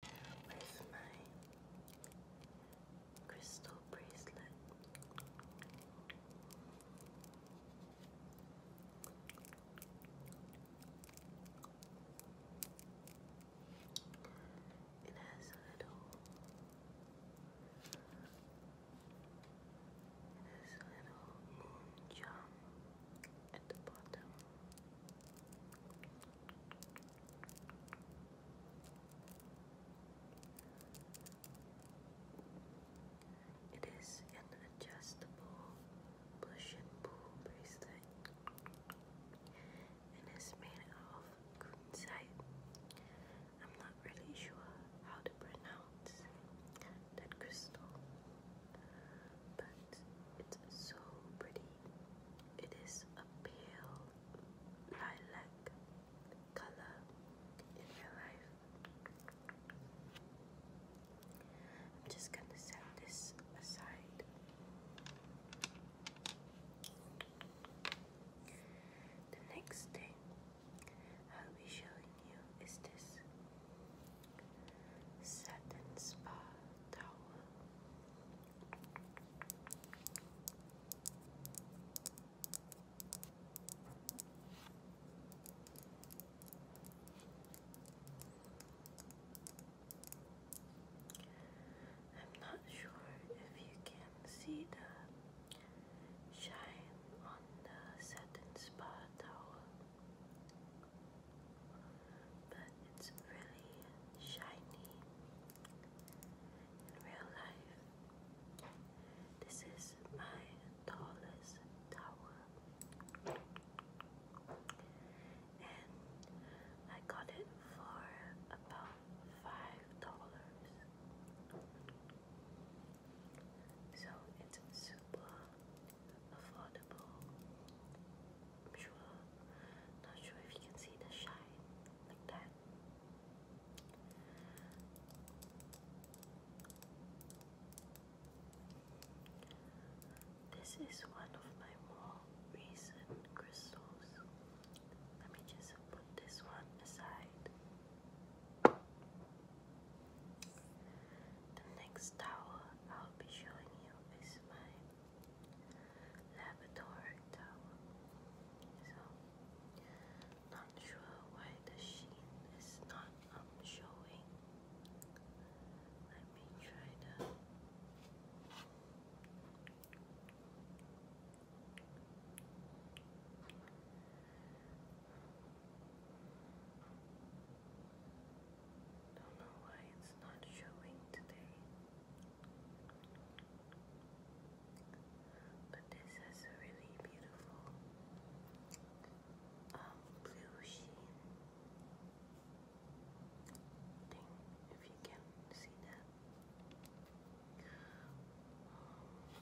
Where's my crystal bracelet? It has a little has a little moon charm at the bottom. It is an adjustable push and pull bracelet and is made of kunzite. I'm not really sure how to pronounce that crystal, but it's so pretty. It is a pale lilac color in real life. I'm just going to set this aside. The next thing I'll be showing you is this satin spa towel I'm not sure if you can see the shine on the satin spa towel, but it's really shiny in real life. This is my tallest tower. And I got it for about five dollars. So it's super affordable. I'm sure. Not sure if you can see the shine like that. This is one of my more recent crystals. Let me just put this one aside. The next tower I'll be showing you is my Labrador towel. So, not sure why the sheen is not um, showing. Let me try the. Don't know why it's not showing today. But this has a really beautiful um, blue sheen if you can see that. Um,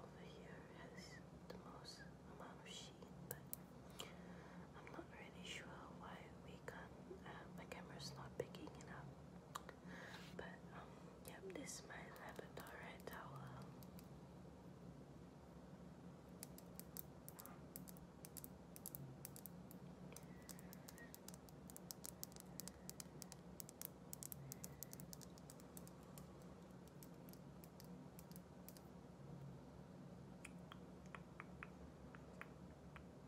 over here has the most amount of sheen, but I'm not really sure why we can. Uh, my camera's not picking it up. But um, yep, this is my Labradorite towel. Um.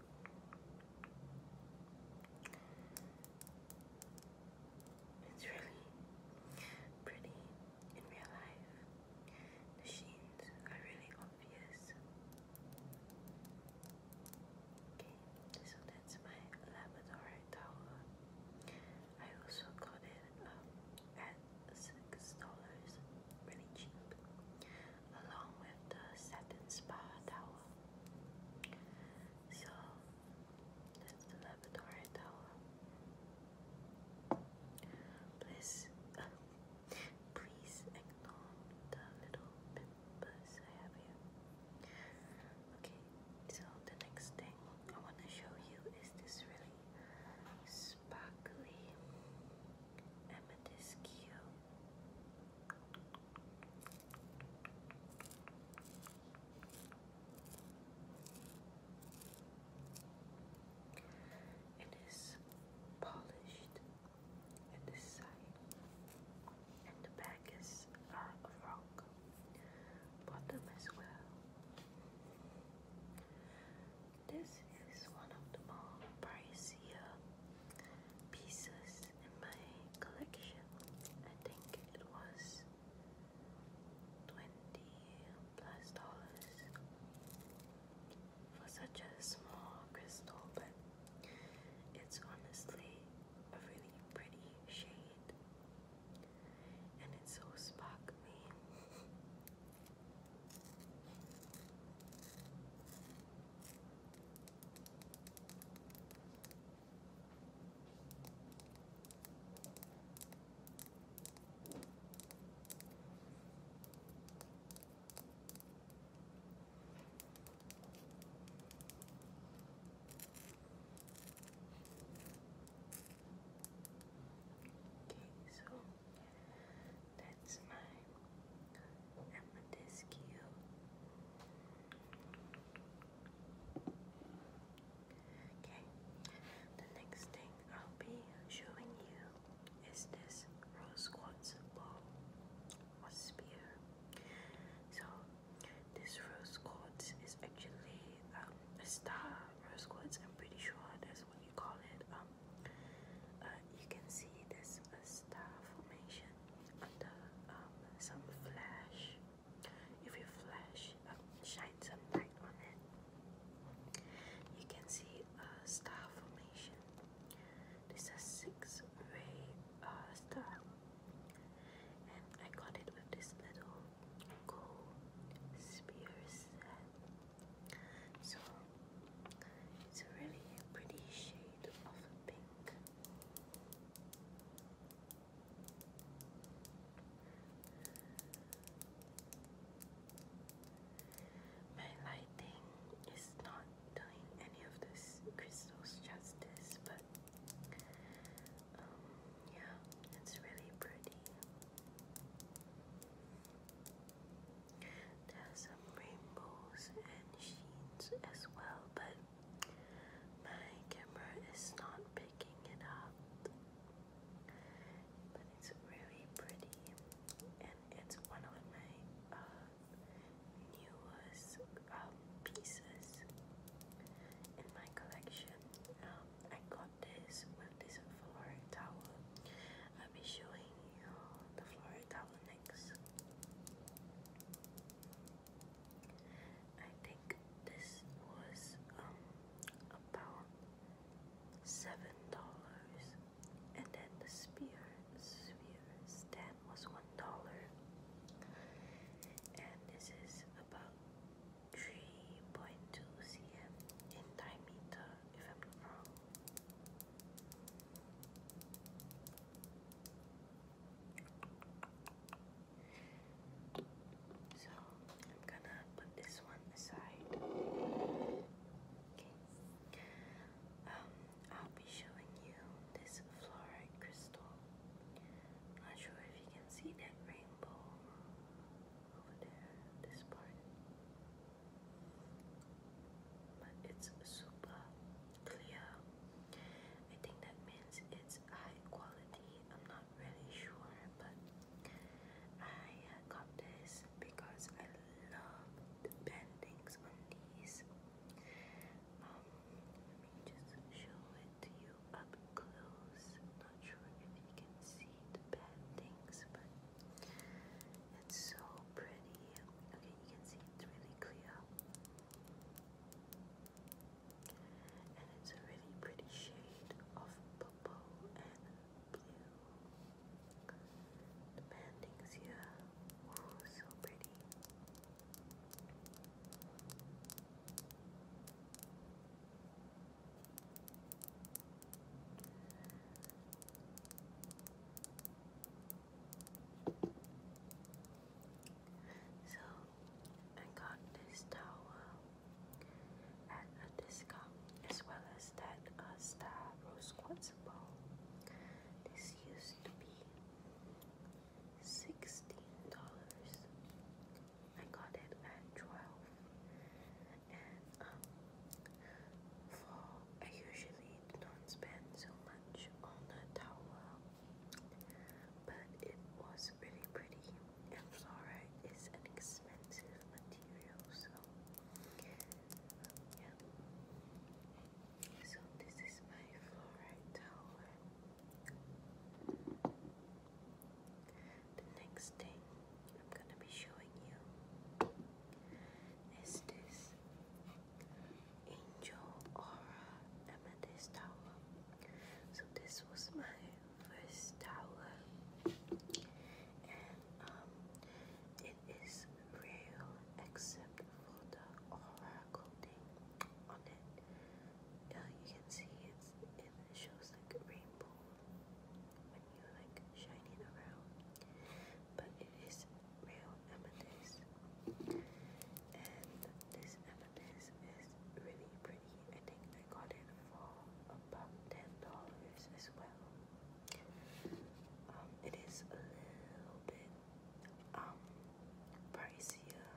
It's really pretty in real life. The sheens are really obvious. Okay, so that's my Labradorite tower. I also got it um, at six dollars, really cheap along with the satin spa Tower, So that's the laboratory towel. Please, um, please ignore the little pimples I have here. Okay, so the next thing I want to show you is this really sparkly amethyst cube it is polished at the side, and the back is uh, a rock, bottom as well. This is one of the more pricier pieces in my collection. I think it was twenty plus dollars for such a small crystal, but it's honestly a really pretty shade, and it's so sparkly. Okay, so that's my this okay the next thing I'll be showing you is this rose quartz ball or spear so this rose quartz is actually um, a star rose quartz I'm pretty sure that's what you call it um, uh, you can see there's a star formation and um, some flash. If you flash, um, shine some light on it, you can see a star formation. This is six-ray uh, star, and I got it with this little gold spear So it's a really pretty shade of pink. My lighting is not doing any of this crystals justice, but um, yeah, it's really pretty. There some rainbows and sheens as well, but my camera is not picking it up, but it's really pretty, and it's one of my uh, newest um, pieces in my collection. Um, I got this with this floral towel. I'll be showing you the floral towel next. I think this was um about seven dollars and then the spear sphere stand was one dollar and this is about 3.2 cm in diameter if I'm not wrong so I'm gonna put this one aside. Okay. Um, I'll be showing you this fluorite crystal. not sure if you can see that rainbow over there, this part. But it's super clear. I think that means it's high quality. I'm not really sure, but I got this because I love the bendings on these. Um, let me just show it to you up close. not sure if you can see the bendings, but it's so pretty. Okay, you can see it's really clear. And it's a really pretty shade of purple and blue. The bandings here, oh so pretty. So I got this towel at a discount as well as that uh, Star Rose Quartz Ball. This used to be $16. I got it at 12 and um, for I usually don't spend so much on a towel but it was really pretty and fluorite is an expensive material so yeah so this is my fluorite tower the next thing I'm gonna be showing you is this Angel Aura Amethyst Tower. So this was my first tower, and um, it is real except for the aura coating on it. you can see it's, it shows like rainbow like shine around, but it is real amethyst and this evidence is really pretty. I think I got it for about ten dollars as well. Um, it is a little bit um pricier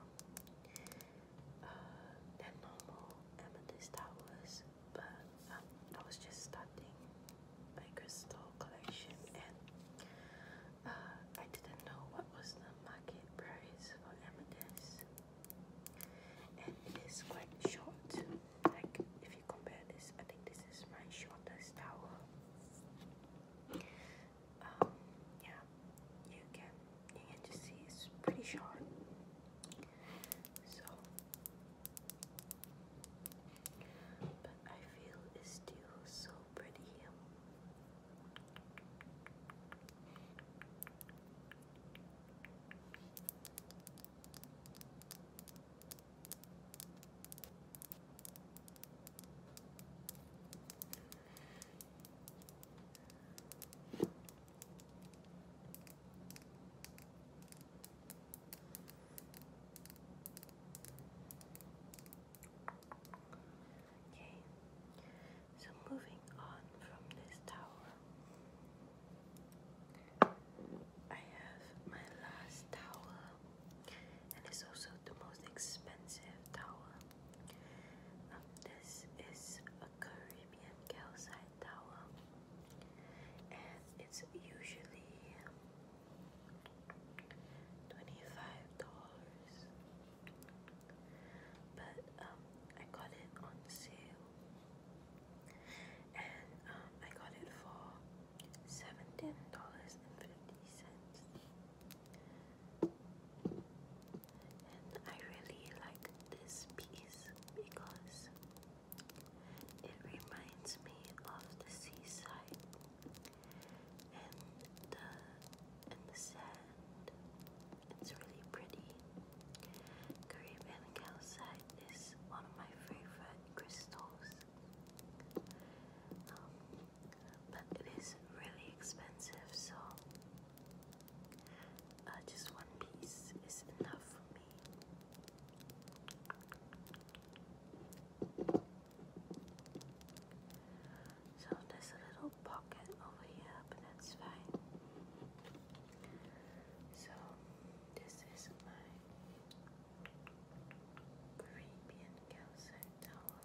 uh, than normal amethyst towers, but um, was just starting my crystal collection and uh, I didn't know what was the price for Amethyst and it is quite short like if you compare this I think this is my shortest tower um, yeah you can you can just see it's pretty short so but I feel it's still so pretty. All Okay, so moving on from this tower, I have my last tower, and it's also the most expensive tower. Um, this is a Caribbean calcite tower, and it's usually $25 but um, I got it on sale, and um, I got it for seventeen dollars and fifty cents. And I really like this piece because it reminds me of the seaside and the uh, and the sand. It's really pretty. Caribbean calcite is one of my favorite crystals. Um, but it is really expensive, so uh, just one piece is enough for me. So there's a little pocket over here, but that's fine. So this is my Caribbean calcite towel.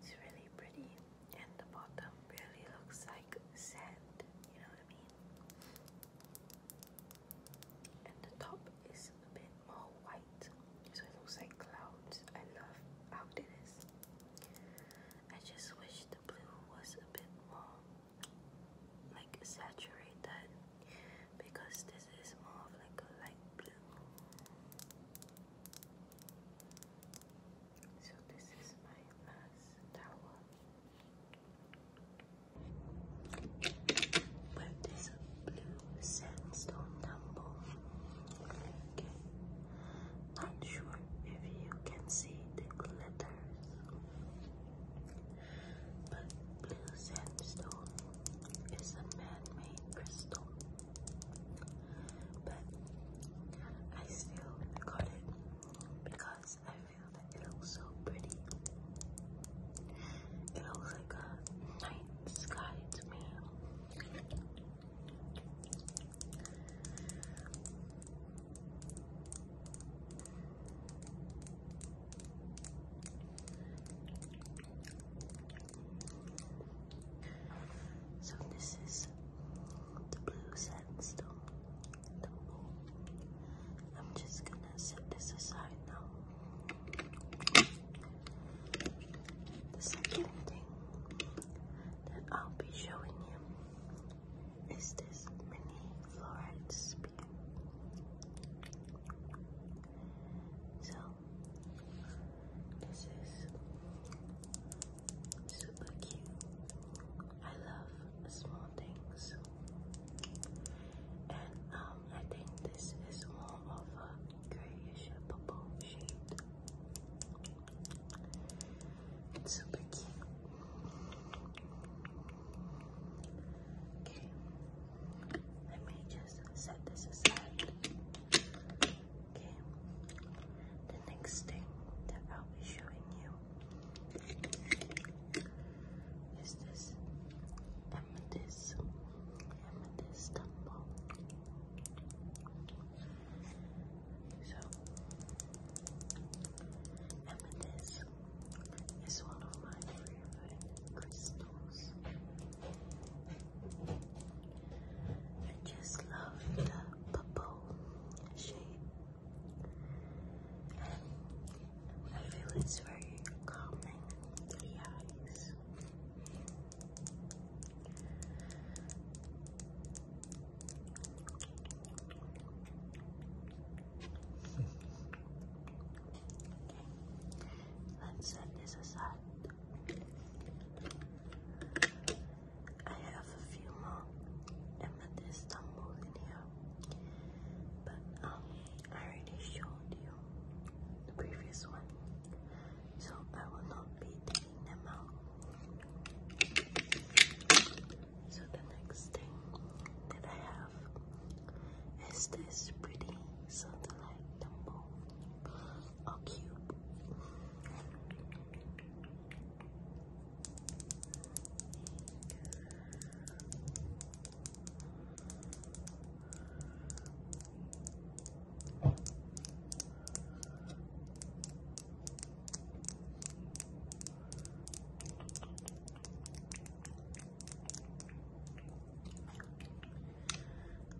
It's really pretty, and the bottom really looks like sand, you know what I mean? And the top is a bit more white, so it looks like clouds. I love how it is. I just wish the blue was a bit more like saturated because this is more of like a light blue. So this is my last tower. But there's blue sandstone tumble. Okay. Not sure if you can see the glitters. But blue sandstone is a man-made crystal, but I still got it because I feel that it looks so pretty. It looks like a night sky to me. So this is the blue sandstone. I'm just gonna set this aside now. The second thing that I'll be showing you is this mini fluoride So this is super cute. I love small things. And um, I think this is more of a grayish purple shade. It's super cute. Okay, let me just set this aside. Okay. The next thing that I'll be showing you is this amethyst, amethyst temple. So, amethyst is one of my favorite crystals. I just love the purple shade. I feel it's very calming to the eyes. let's set this aside. I have a few more emethystombol in here, but um, I already showed you the previous one, so I will not be taking them out. So the next thing that I have is this pretty satellite temple. Oh, cute.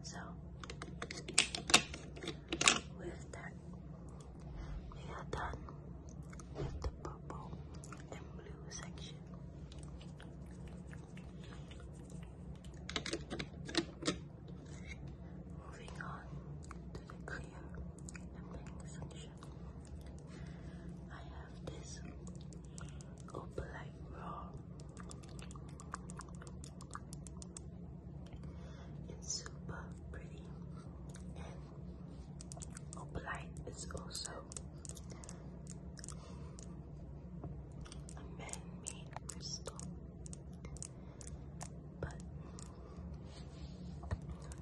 So, with that, we are done with the purple and blue section. Moving on to the clear and pink section. I have this opalite raw it's super pretty and Opalite is also a man-made crystal but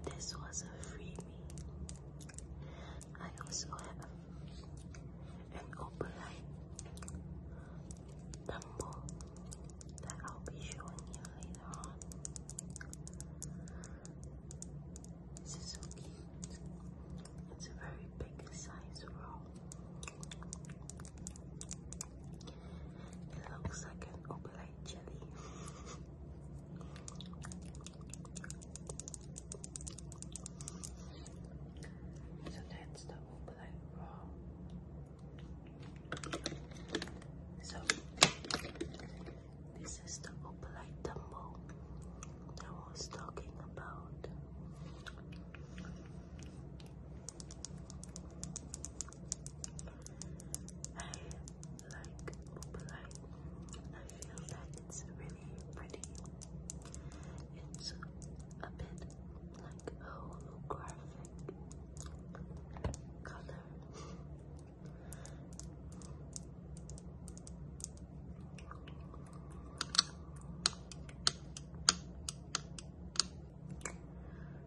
this was a freebie. I also have an opalite thimble that I'll be showing you later on. This is so cute. It's a very big size roll. It looks like an opalite jelly. so that's the opalite um, so this is the opalite tumble I was talking about. I like opalite. I feel that it's really pretty. It's a bit like holographic color.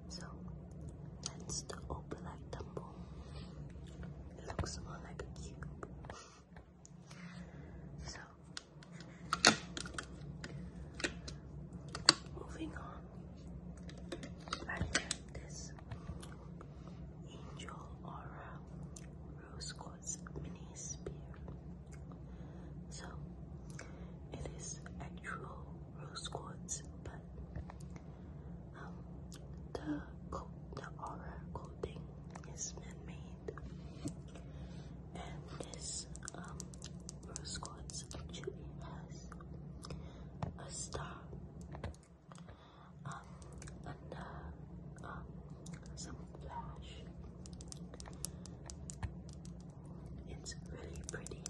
So that's the opalite tumble. It looks more like a cube. So Moving on, I have this Angel Aura Rose Quartz Mini Spear. So, it is actual rose quartz, but um, the, the aura coating is man-made and this um, rose quartz actually has a star um, um some flash. It's really pretty.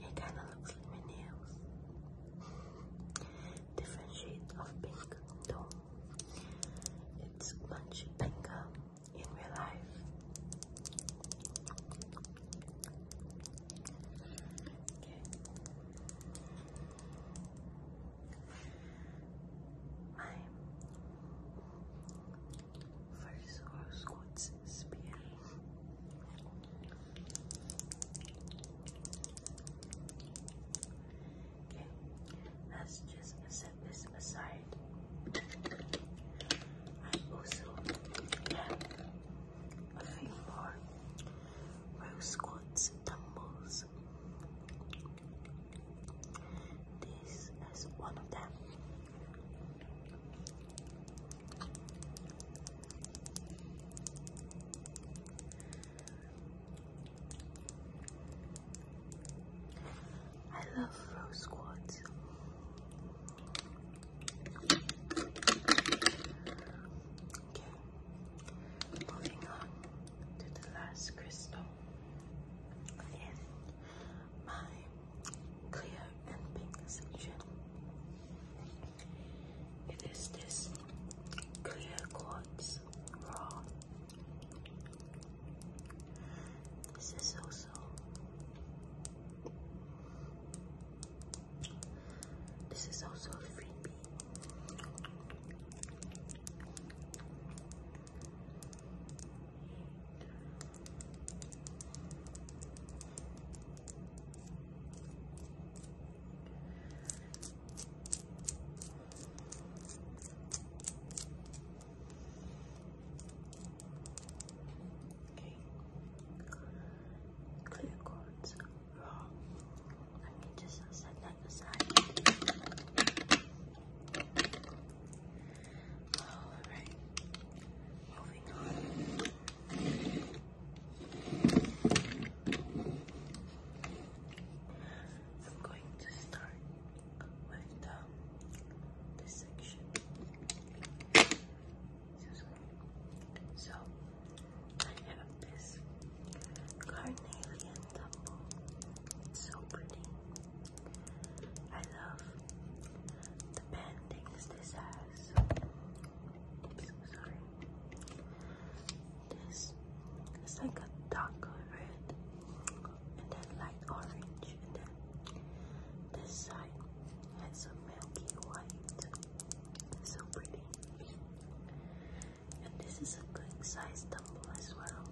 It kind of looks like nails. Different shades of pink, it's much bigger in real life. Okay. My first horoscope's spear let's just set this aside. I also have a few more row squats dumbbells. This is one of them. I love rose quartz. Okay, moving on to the last crystal. Again, my clear and pink section. It is this clear quartz raw this is also this is also a freebie. Okay. Clear cords. Let me just set that aside. Alright. Moving on. I'm going to start with the this section. So I have this carnelian It's so pretty. I love the paintings this has. so sorry. This is like a darker red and then light orange, and then this side has a milky white. So pretty. And this is a good size tumble as well.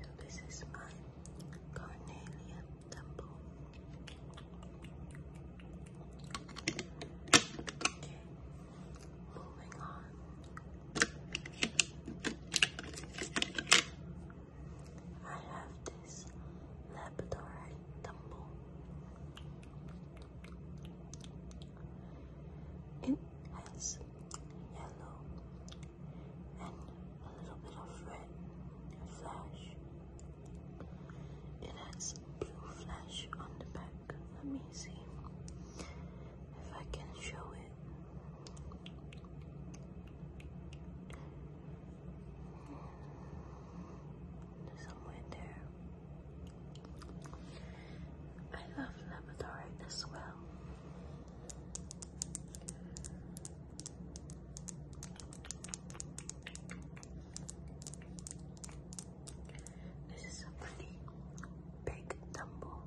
So this is my carnelian temple. Okay, moving on. I have this Labradorite temple. It has yellow and a little bit of red flash. It has blue flash on the back. Let me see if I can show it. Somewhere there. I love Labradorite as well. This is a pretty big tumble.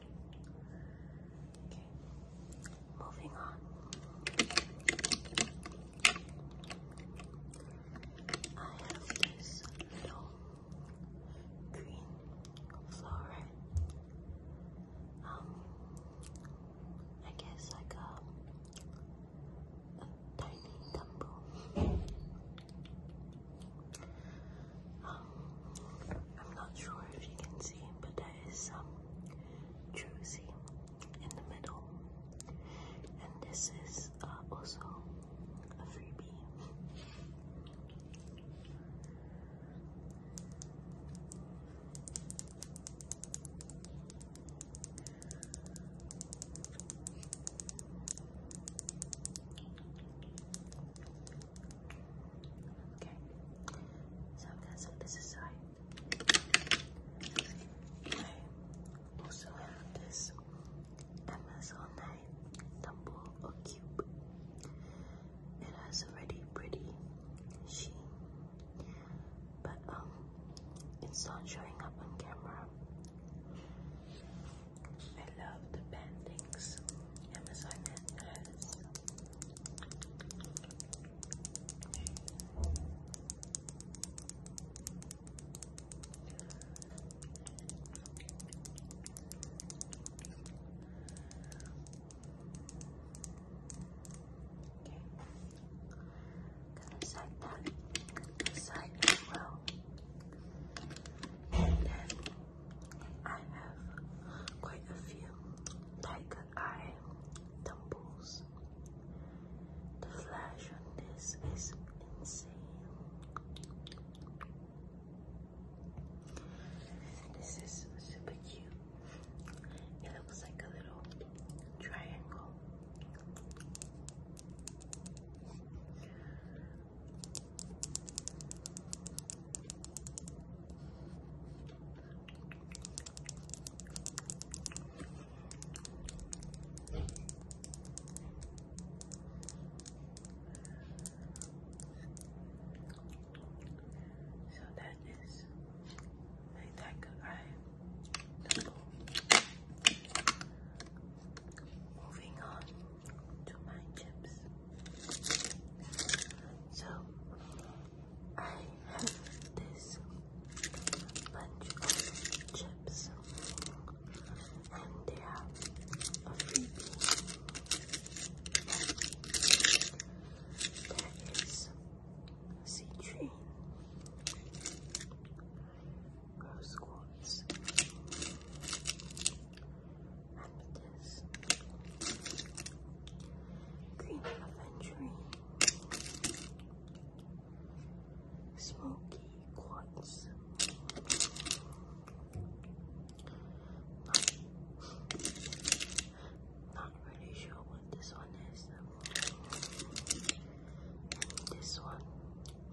Okay, moving on. I have this little green flower. Um, I guess like a, tiny tumble. Um, I'm not sure if you can see, but there is some jersey in the middle. And this is uh, also a freebie. Okay, so I'm gonna set this aside. I also have this Amazon tumble or cube. It has a really pretty sheen, but um, it's not showing up on camera. I love the bandings Amazon has. Good side that. Good side as well. And then I have quite a few tiger eye temples. The flash on this is insane. This is super cute. It looks like a little triangle. So that is my tiger eye. Moving on to my chips. So I have this bunch of chips and they are a freebie. There is citrine, rose quartz, Amethyst. Green Aventurine. Smoky Quartz. Not, really sure what this one is. this one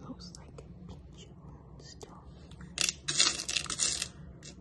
looks like a peach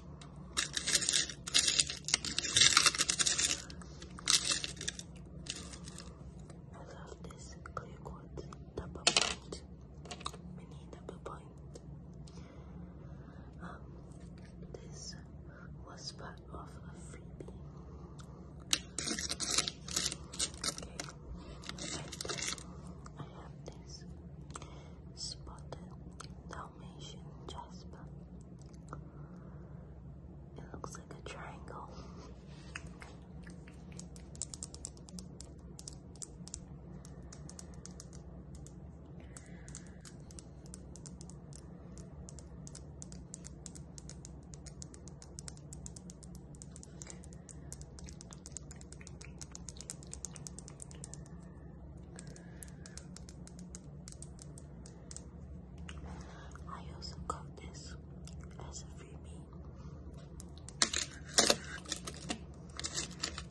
I love this clear double point, mini double point. this was part of a freebie. Okay, I have this spotted Jasper. It looks like a triangle. I also got this as a freebie.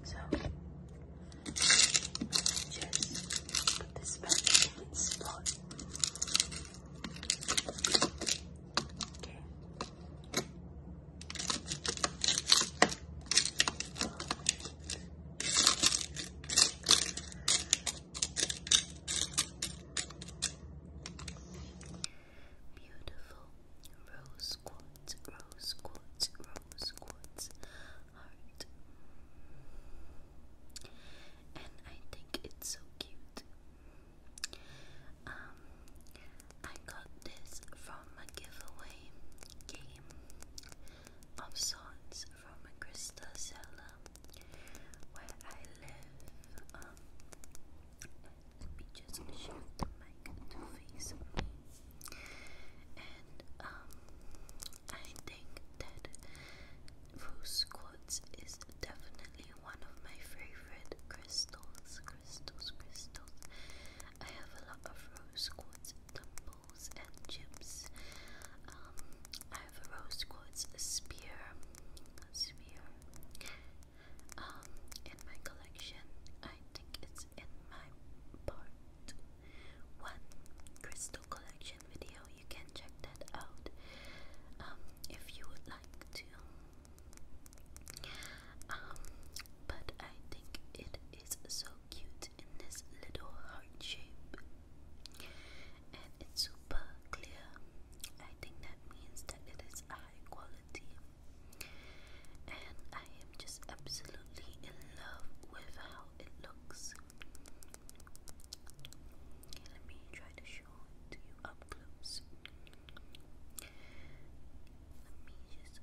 So just put this back in its spot. Okay. Beautiful rose quartz, rose quartz, rose quartz heart. And I think it's so cute. Um, I got this from a giveaway game of sorts from a crystal where I live. Um, let just shift the mic And um, I think that rose quartz is definitely one of my favorite crystals. Crystals, crystals. I have a lot of rose quartz and chips. Um, I have a rose quartz spear, spear. Um, in my collection, I think it's in my part one crystal collection video. You can check that out um, if you would like to. Um, but I think it is so cute in this little heart shape and it's super clear. I think that means that it is high quality, and I am just absolutely in love with how it looks. let me try to show it to you up close. Let me just.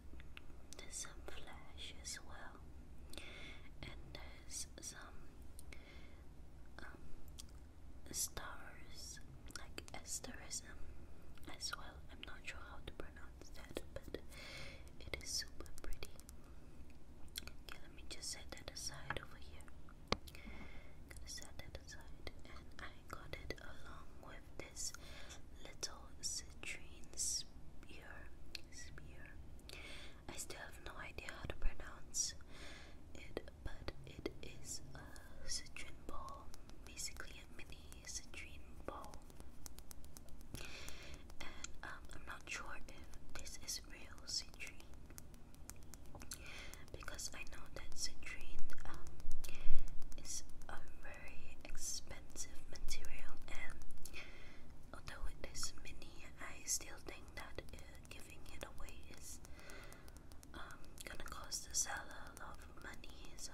There's some flash as well, and there's some um, stars, like asterism as well. I'm not sure how to pronounce that, but it is super pretty. Okay, let me just set that aside over here. set that aside, and I got it along with this little citrine spear. Spear. I still have no idea how to pronounce it, but it is a citrine ball, basically a mini citrine ball. And um, I'm not sure if this is real citrine, because I know that citrine um, is a very expensive material, and although it is mini, I still think think that giving it away is um, gonna cost the seller a lot of money. So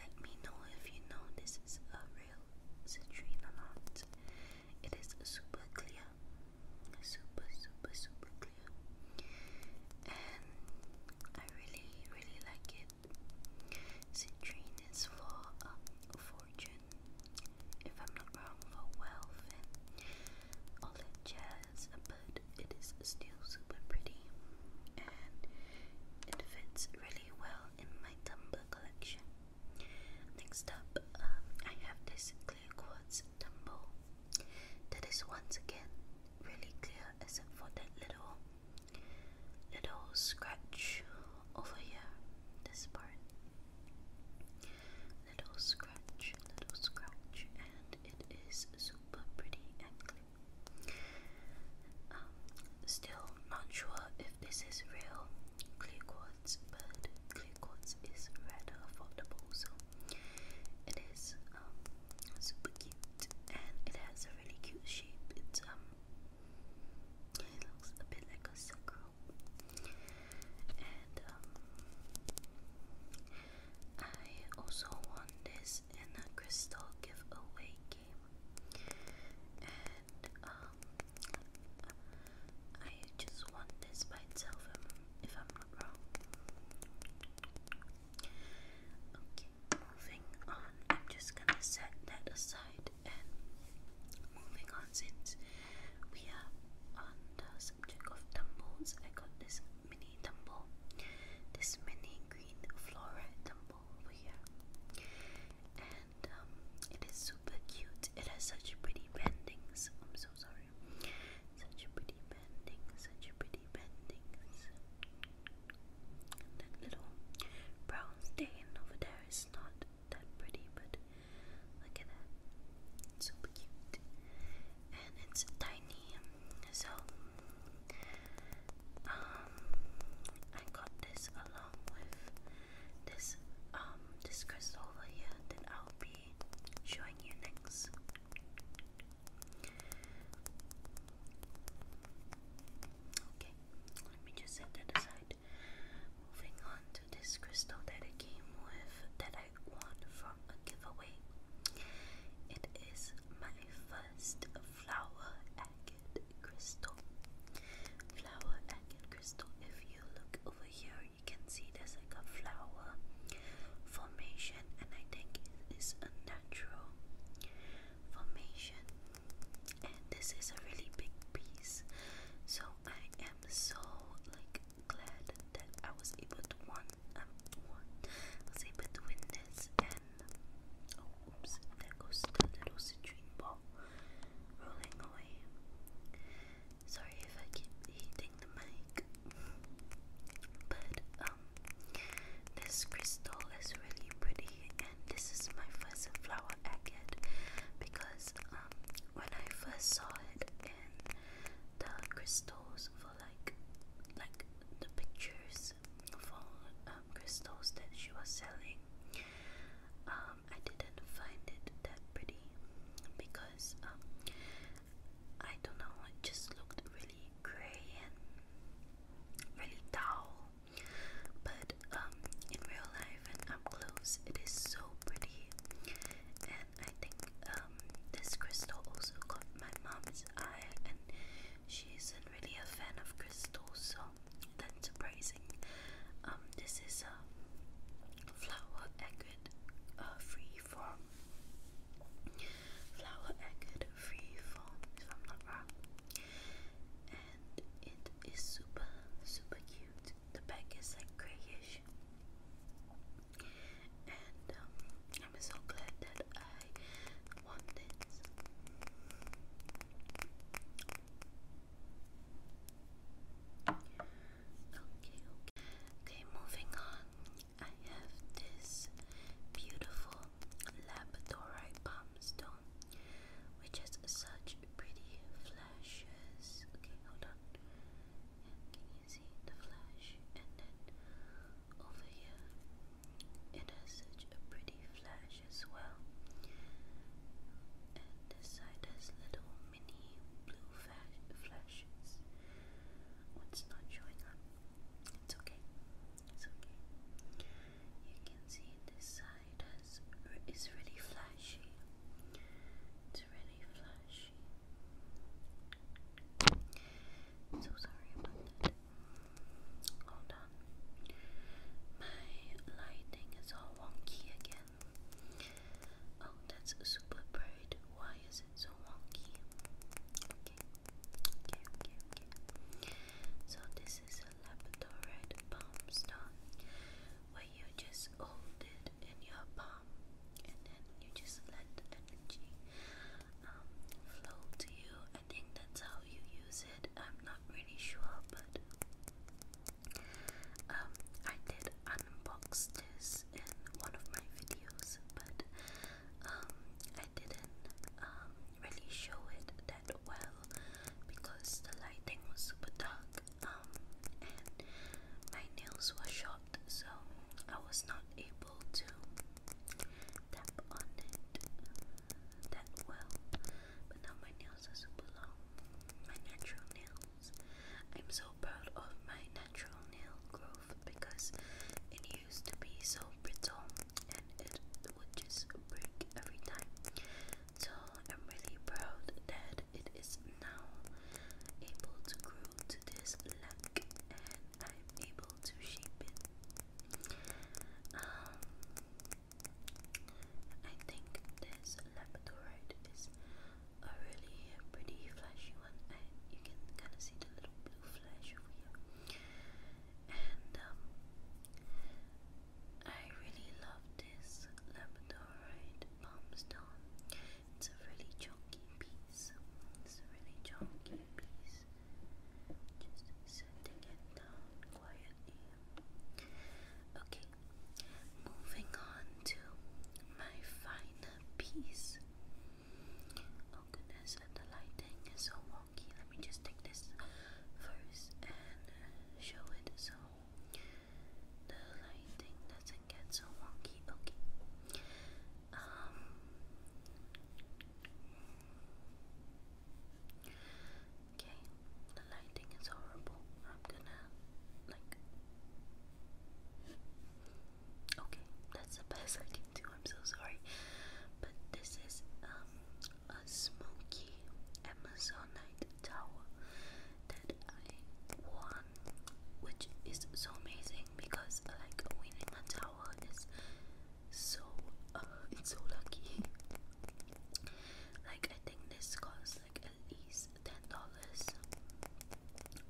let me know if you know this is a real citrine or It is super clear, super, super, super clear, and I really, really like it. Citrine is for um, fortune if I'm not wrong, for wealth and all that but it is still super pretty and it fits really well in my tumbler collection. Next up, um, I have this clear quartz tumble that is once again really clear except for that little little scratch over here, this part little scratch, little scratch, and it is super pretty and clean. Um, still not sure if this is real clear quartz, but clear quartz is rather affordable, so it is um, super cute and it has a really cute shape. Um, it looks a bit like a sakura and um, I also won this in a crystal giveaway game, and um, I just won this by itself if I'm not wrong. Okay, moving on. I'm just gonna set that aside and um, moving on, since we are on the subject of tumbles, I got this mini tumble, this mini green flora tumble over here, and um, it is super cute. It has such pretty bendings. I'm so sorry, such pretty bendings, such pretty bendings. that little brown stain over there is not that pretty, but look at that. super cute. And it's tiny. So um I got this along with this um this crystal over here that I'll be showing you next. Okay, let me just set that aside. Moving on this crystal that I came with that I won from a giveaway. It is my first flower agate crystal. Flower agate crystal. If you look over here, you can see there's like a flower formation, and I think it is a natural formation. And this is a really big piece, so I am so like glad that I was able to one um was able to win this and oh oops there goes the little citrine ball rolling away. Sorry if I keep hitting the mic. But um this crystal is really pretty and this is my first flower I get because um when I first saw it the crystals for like like the pictures for um, crystals that she was selling. Um, I didn't find it that pretty because um, I don't know. It just looked really gray and really dull. But in real life and up close, it is so pretty. I think um, this crystal also got my mom's eye and she isn't really a fan of crystals so that's surprising. Um, this is a flower agate uh flower agate free if I'm not wrong and it is super super cute the back is like grayish. And um, I'm so glad that I wanted this. Okay, okay. Okay, moving on. I have this beautiful labradorite palm stone, which has such pretty flashes. Okay, hold on can you see the flash? And then over here, it has such a pretty flash as well. And this side has little mini blue flash flashes. What's not showing up? It's okay. It's okay. You can see this side has is really flashy. It's really flashy. So sorry about that. Hold on. My lighting is all wonky again. Oh, that's super bright. Why is it so wonky? Okay. Okay, okay, okay. So this is a laboratory right? Palm you just hold in your palm, and then you just let energy um, flow to you. I think that's how you use it. I'm not really sure, but um, I did unbox this in one of my videos, but um, I didn't um, really show it that well because the lighting was super dark um, my nails were short, so I was not able to tap on it that well. But now my nails are super long, my natural nails. I'm so proud of my natural nail growth because it used to be so brittle and it would just break every time. So I'm really proud that it is now able to grow to this length and I'm able to shape it. Um, I think this labradorite is a really pretty flashy one and you can kind of see the little blue flash over here. And um, I really love this labradorite palm it's a really chunky piece. It's a really chunky piece. Just setting down quietly. Okay, moving on to my final piece. Oh goodness, the lighting is so wonky. Let me just take this first and show it. So the lighting doesn't get so wonky. Okay. Um, okay. The lighting is horrible. I'm gonna like. Okay, that's the best I can do. I'm so sorry, but this is um a smoky Amazonite tower that that I won, which is so amazing because like winning a tower is so uh, it's so lucky. Like I think this costs like at least ten dollars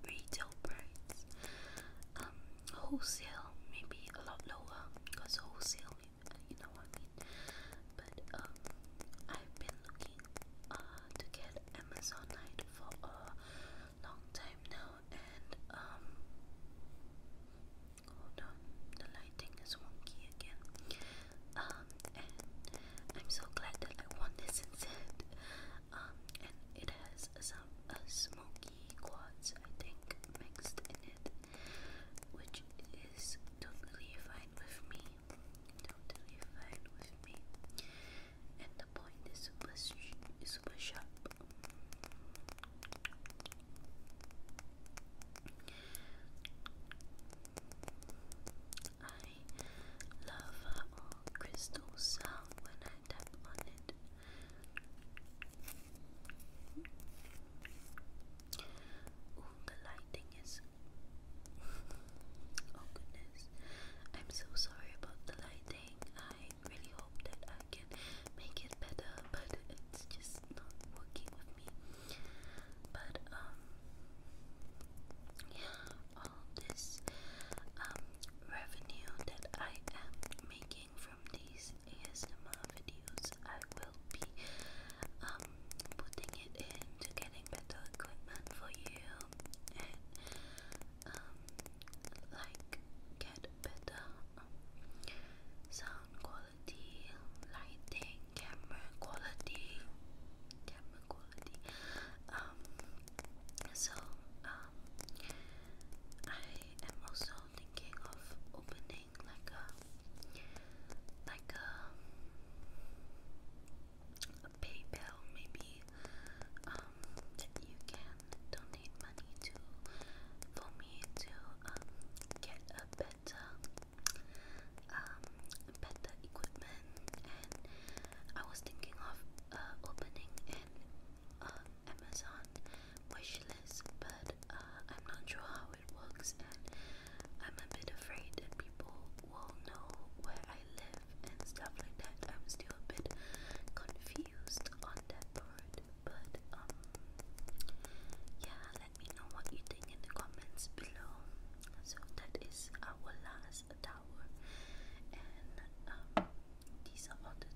retail price. Um, wholesale maybe a lot lower because wholesale, you know what I mean. But um, I've been looking uh, to get Amazon Night for a long time now, and um, hold on, the lighting is wonky again. Um, and I'm so glad that I won this instead. Um, and it has some uh, smoky quads, I think, mixed in it, which is totally fine with me. Totally fine with me and the point is super, super sharp. I love how crystal sound when I tap on it. Ooh, the lighting is Oh goodness. I'm so sorry about the lighting. I really hope that I can make it better, but it's just not working with me. But um yeah, all this um revenue that I am making from these ASMR videos, I will be um putting it into getting better equipment for you and um, like get better sound quality, lighting, camera quality, camera quality. Um, so um, I am also thinking of opening like a like a PayPal maybe um, you can donate money to for me to um, get a better um, better equipment and I was thinking of uh, opening an uh, Amazon wish list but uh, I'm not sure how it works and I'm a bit afraid that people will know where I I live and stuff like that. I'm still a bit confused on that part, but um, yeah, let me know what you think in the comments below. So that is our last tower, and um, these are all the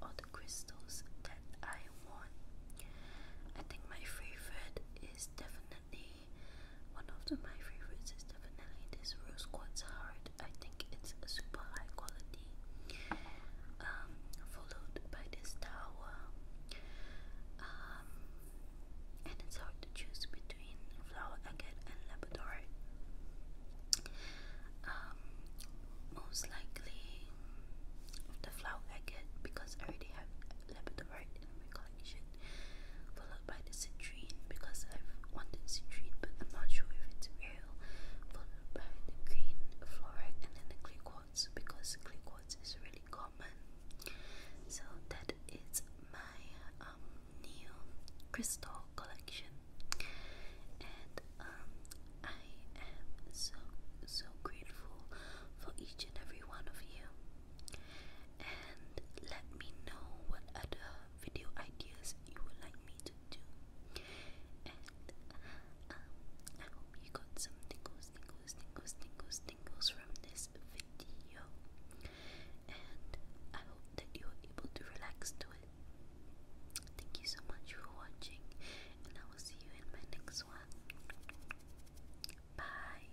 all the crystals that I won. I think my favorite is definitely one of the, my favorites is definitely this rose quartz heart. I think it's super high quality. Um, followed by this tower. Um, and it's hard to choose between flower agate and labradorite. Um, most likely the flower agate because I already have labradorite in my collection. Followed by tried the citrine because I've wanted a citrine, but I'm not sure if it's real. Followed by the green fluoride and then the clay quartz because clay quartz is really common. So that is my um, crystal collection, and um, I am so so grateful for each and every one of you. And let me know what other video ideas you would like me to do. And um, I hope you got some tingles, tingles, tingles, tingles, tingles from this video. And I hope that you are able to relax to it. Thank you so much for watching, and I will see you in my next one. Bye.